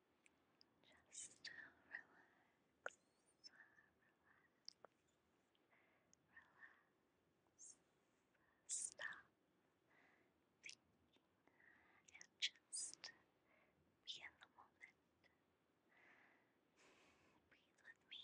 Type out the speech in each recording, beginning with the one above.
Just relax, relax, relax. Stop thinking and just be in the moment. Breathe with me.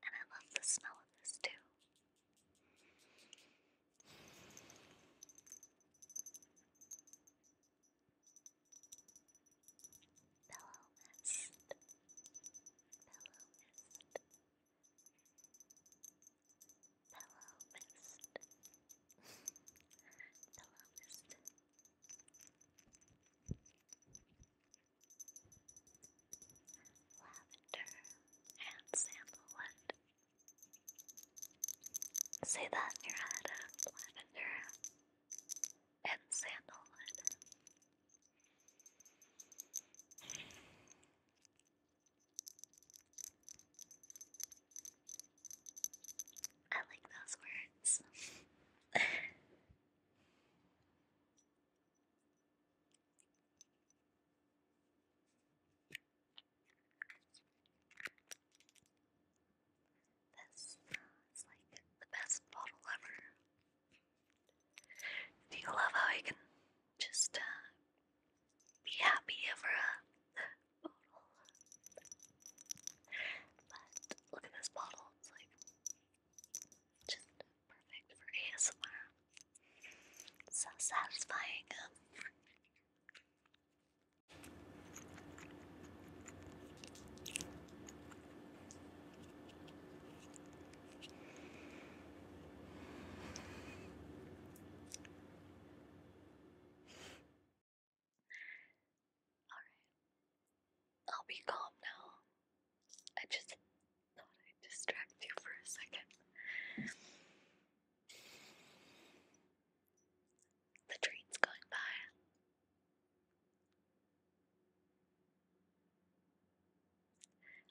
And I love the smell of this too. Pillow mist. Pillow mist. Pillow mist. Pillow mist lavender, and sandalwood. Say that in your head lavender and sandalwood. I like those words. This uh, is like the best bottle ever. Do you love how I can just uh, be happy over a bottle? But look at this bottle. It's like just perfect for ASMR. So satisfying. Um. Alright. I'll be calm now. I just thought I'd distract you for a second. The train's going by.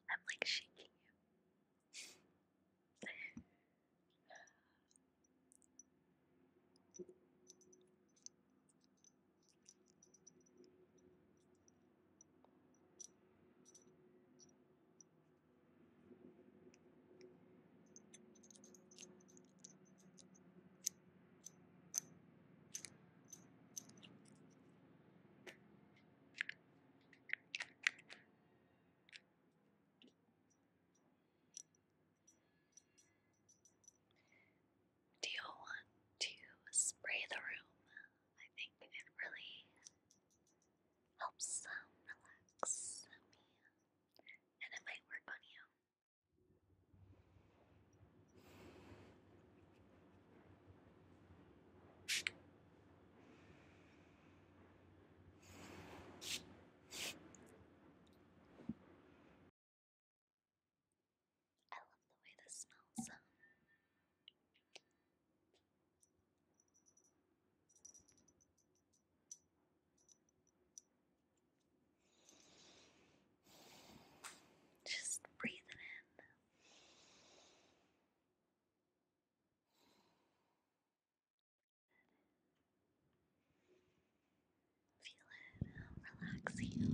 I'm like shaking do you want to spray the room I think it really helps um, relax me, and it might work on you. I love the way this smells. Um. Just breathe it in. Feel it um, relax you.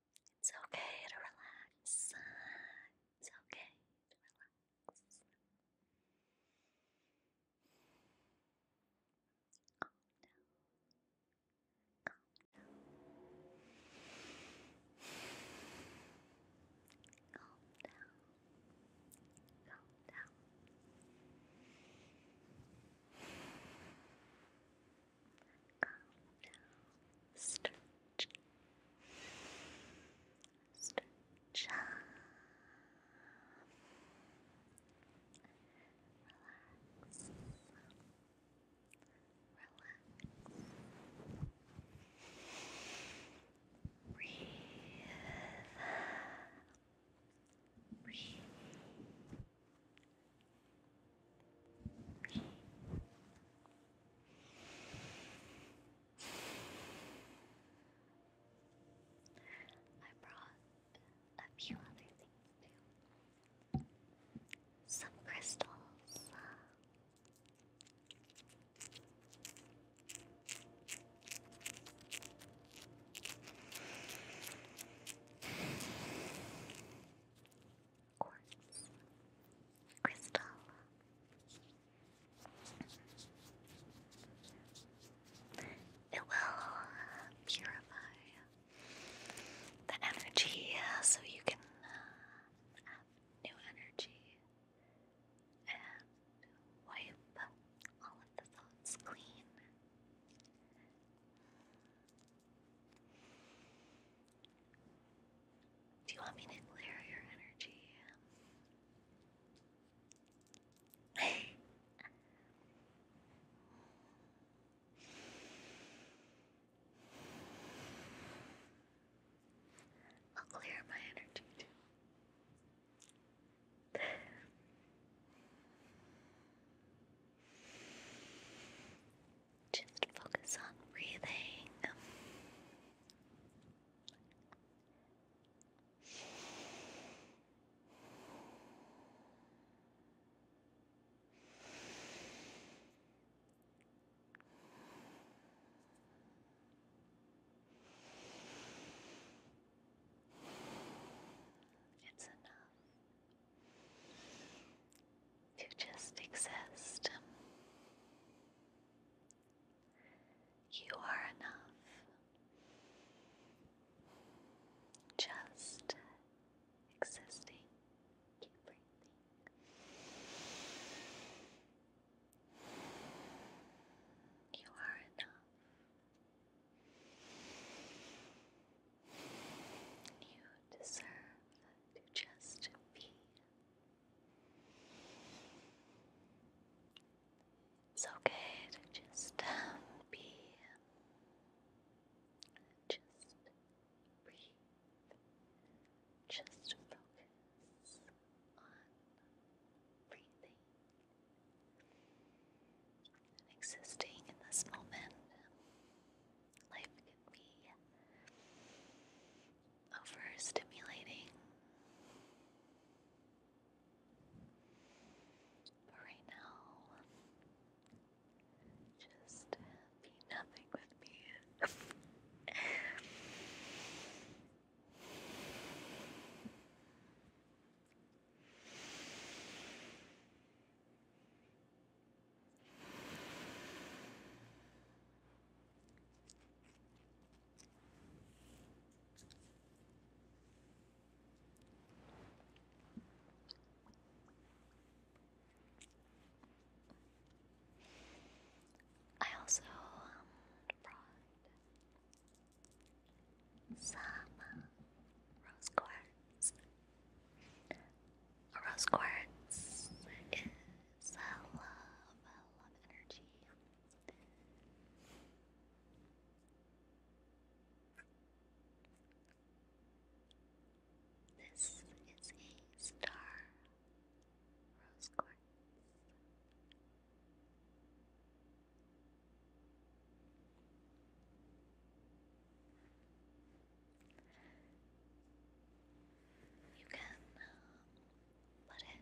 It's okay to relax. It's okay to relax. Calm down. Calm down. Calm down. Calm down stretch, stretch, relax, relax, breathe. Breathe, I brought a few other things too. Some crystals quartz, crystal. It will purify the energy so you can have uh, new energy and wipe all of the thoughts clean. Do you want me to clear your energy? I'll clear my energy too. Just focus on breathing. It's enough to just exist. You are enough. Just existing. Keep breathing. You are enough. You deserve to just be. It's okay to just um, be, just breathe, just focus on breathing and existing in this moment. Life can be overstimulating. But right now, just be nothing with me. I also um, brought some uh, rose quartz. Rose quartz so love, love energy. This is a star rose quartz. You can uh, Put it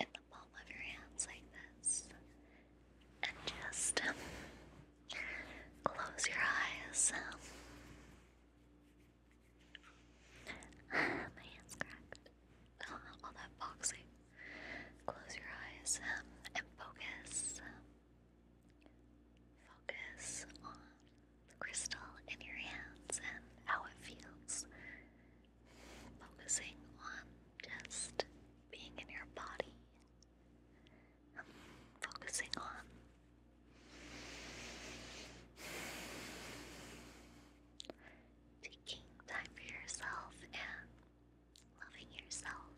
in the palm of your hands like this. And just close your eyes. My hand's cracked. all that boxing. Close your eyes um, and focus. Um, focus on the crystal in your hands and how it feels. Focusing on just being in your body. focusing on taking time for yourself and loving yourself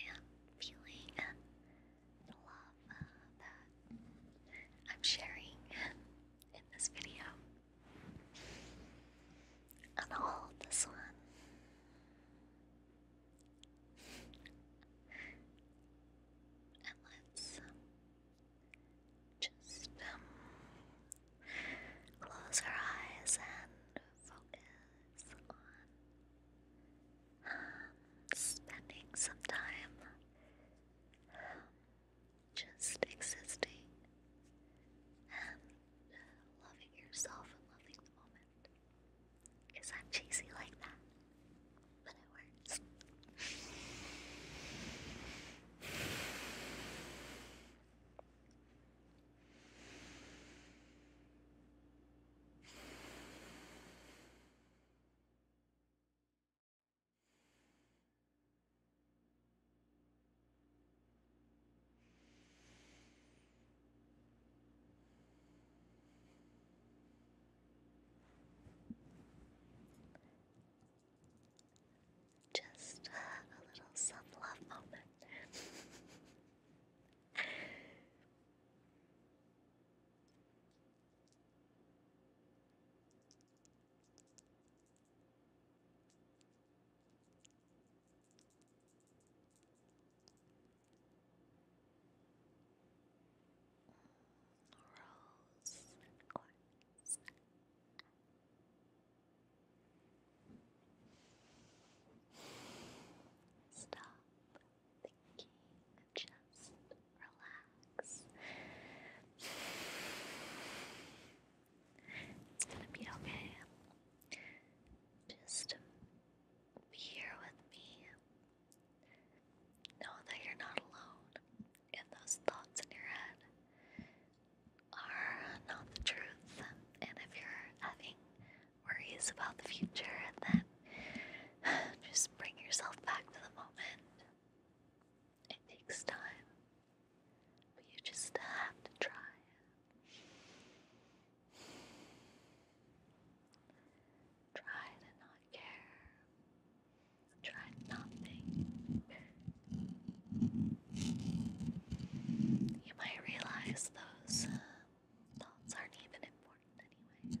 and feeling love that I'm sharing in this video. And i this one. and let's um, just um, close our eyes and focus on um, spending some time just existing and loving yourself and loving the moment. Because I'm cheesy like that, but it works. Just a little self love moment. Rose quartz. Stop thinking, relax. It's gonna be okay. Just be here with me. Know that you're not alone, and those thoughts in your head are not the truth. And if you're having worries about the future, then just bring yourself back to the moment. It takes time, but you just have to try Try to not care. Try not think. You might realize those uh, thoughts aren't even important anyway.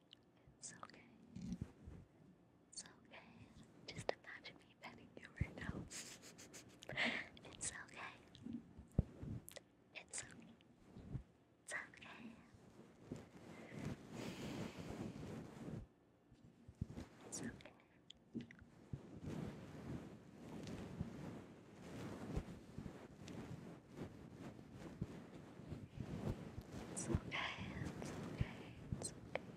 It's okay. It's okay. Just imagine me petting you right now. it's okay. It's okay. It's okay. It's okay. It's okay, it's okay, it's okay.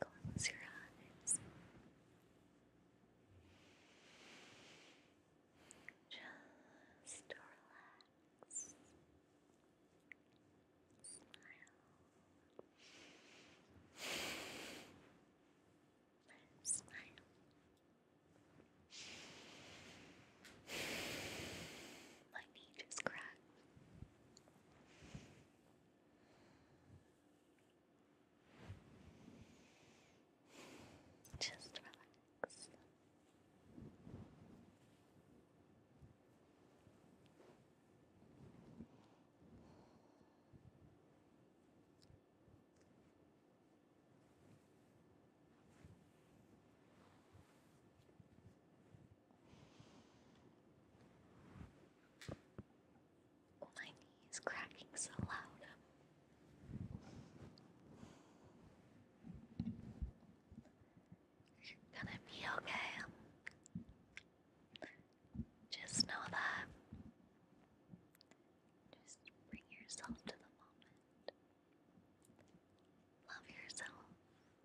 Close your eyes. Just relax. Smile. Smile. My knee just cracked. Just relax. My knees cracking so loud. You're gonna be okay. Just know that just bring yourself to the moment. Love yourself.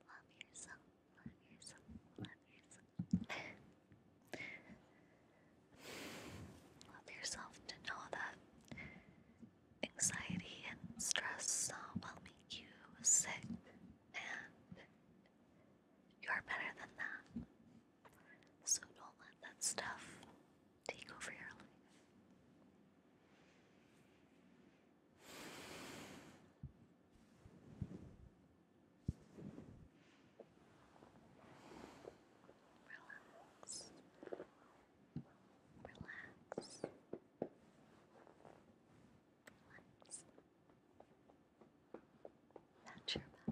Love yourself. Love yourself. Love yourself. love yourself to know that anxiety and stress uh, will make you sick, and you are better than that. So don't let that stuff take over your life. Relax. Relax. Relax. Pat your back.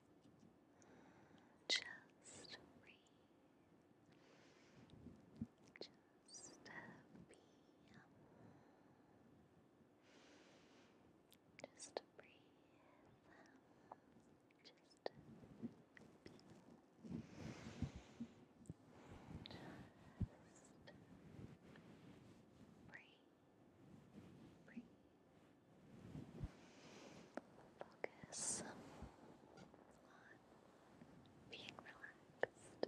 Just breathe. Just be. Just breathe. Just be. Just breathe. Breathe. Focus on being relaxed.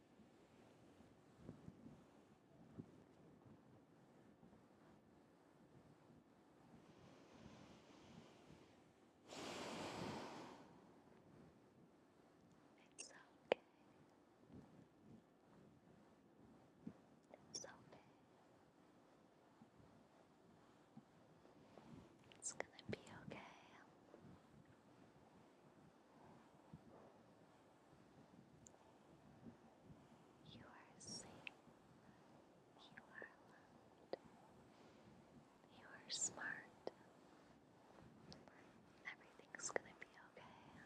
It's okay. It's okay. It's gonna be okay. You are safe. You are loved. You are smart. Everything's gonna be okay. It's okay.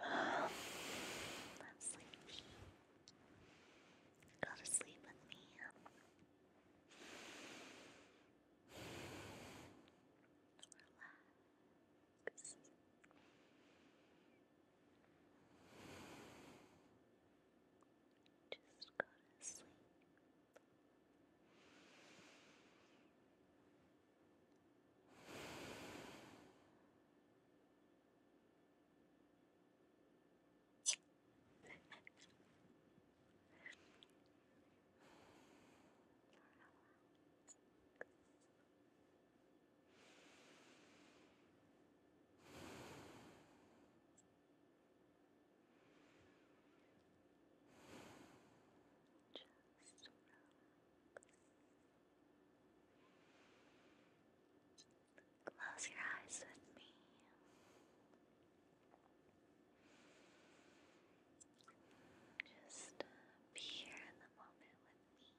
I'm sleepy. Go to sleep with me. Relax. Just go to sleep. Just Close your eyes with me. Just uh, be here in the moment with me.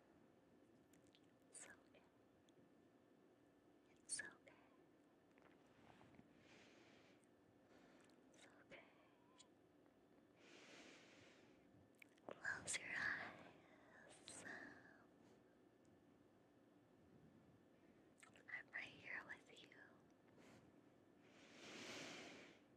So it, it's okay. It's okay. Close your eyes. I'm right here with you.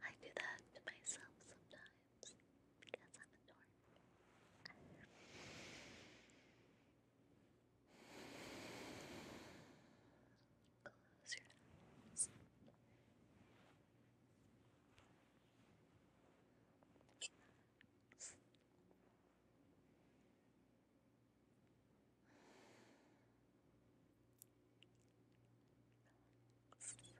I do that to myself sometimes because I'm a Close your eyes. Relax. Relax. I'm here with you.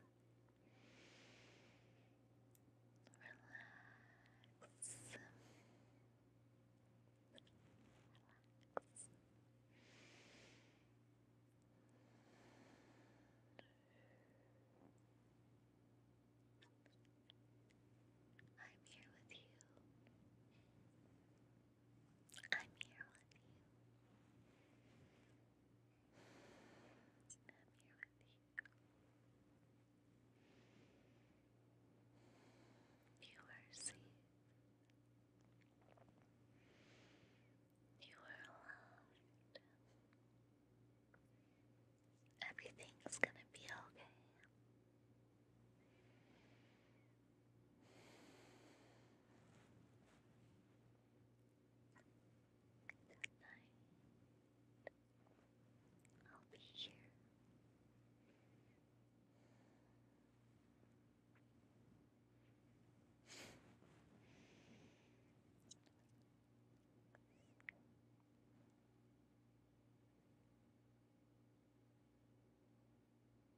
I'm here with you. I'm here with you. You are safe. You are loved. Everything's gonna be okay. That night, I'll be here.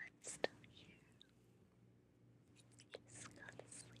I'm still here. Just got to sleep.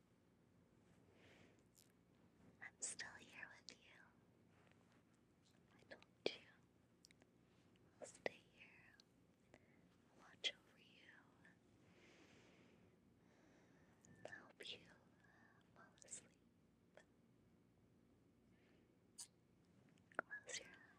I'm still here with you. I told you. I'll stay here. watch over you. help you fall asleep. Close your eyes.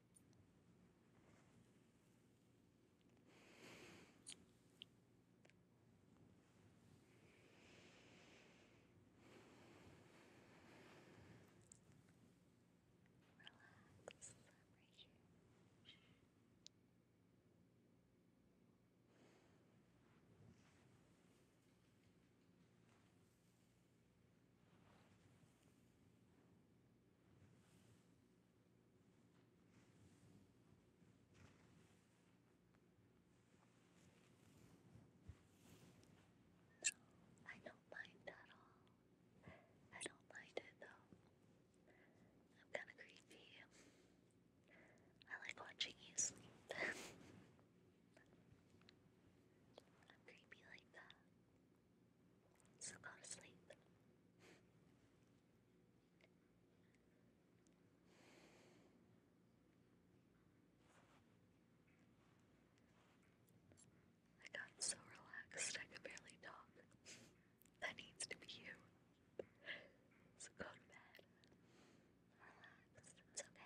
Relax, I'm right here. Good. I don't mind at all. I don't mind it though. I'm kind of creepy. I like watching you sleep. I'm creepy like that. So go to sleep. I got so relaxed I could barely talk. that needs to be you. So go to bed. Relax. It's okay.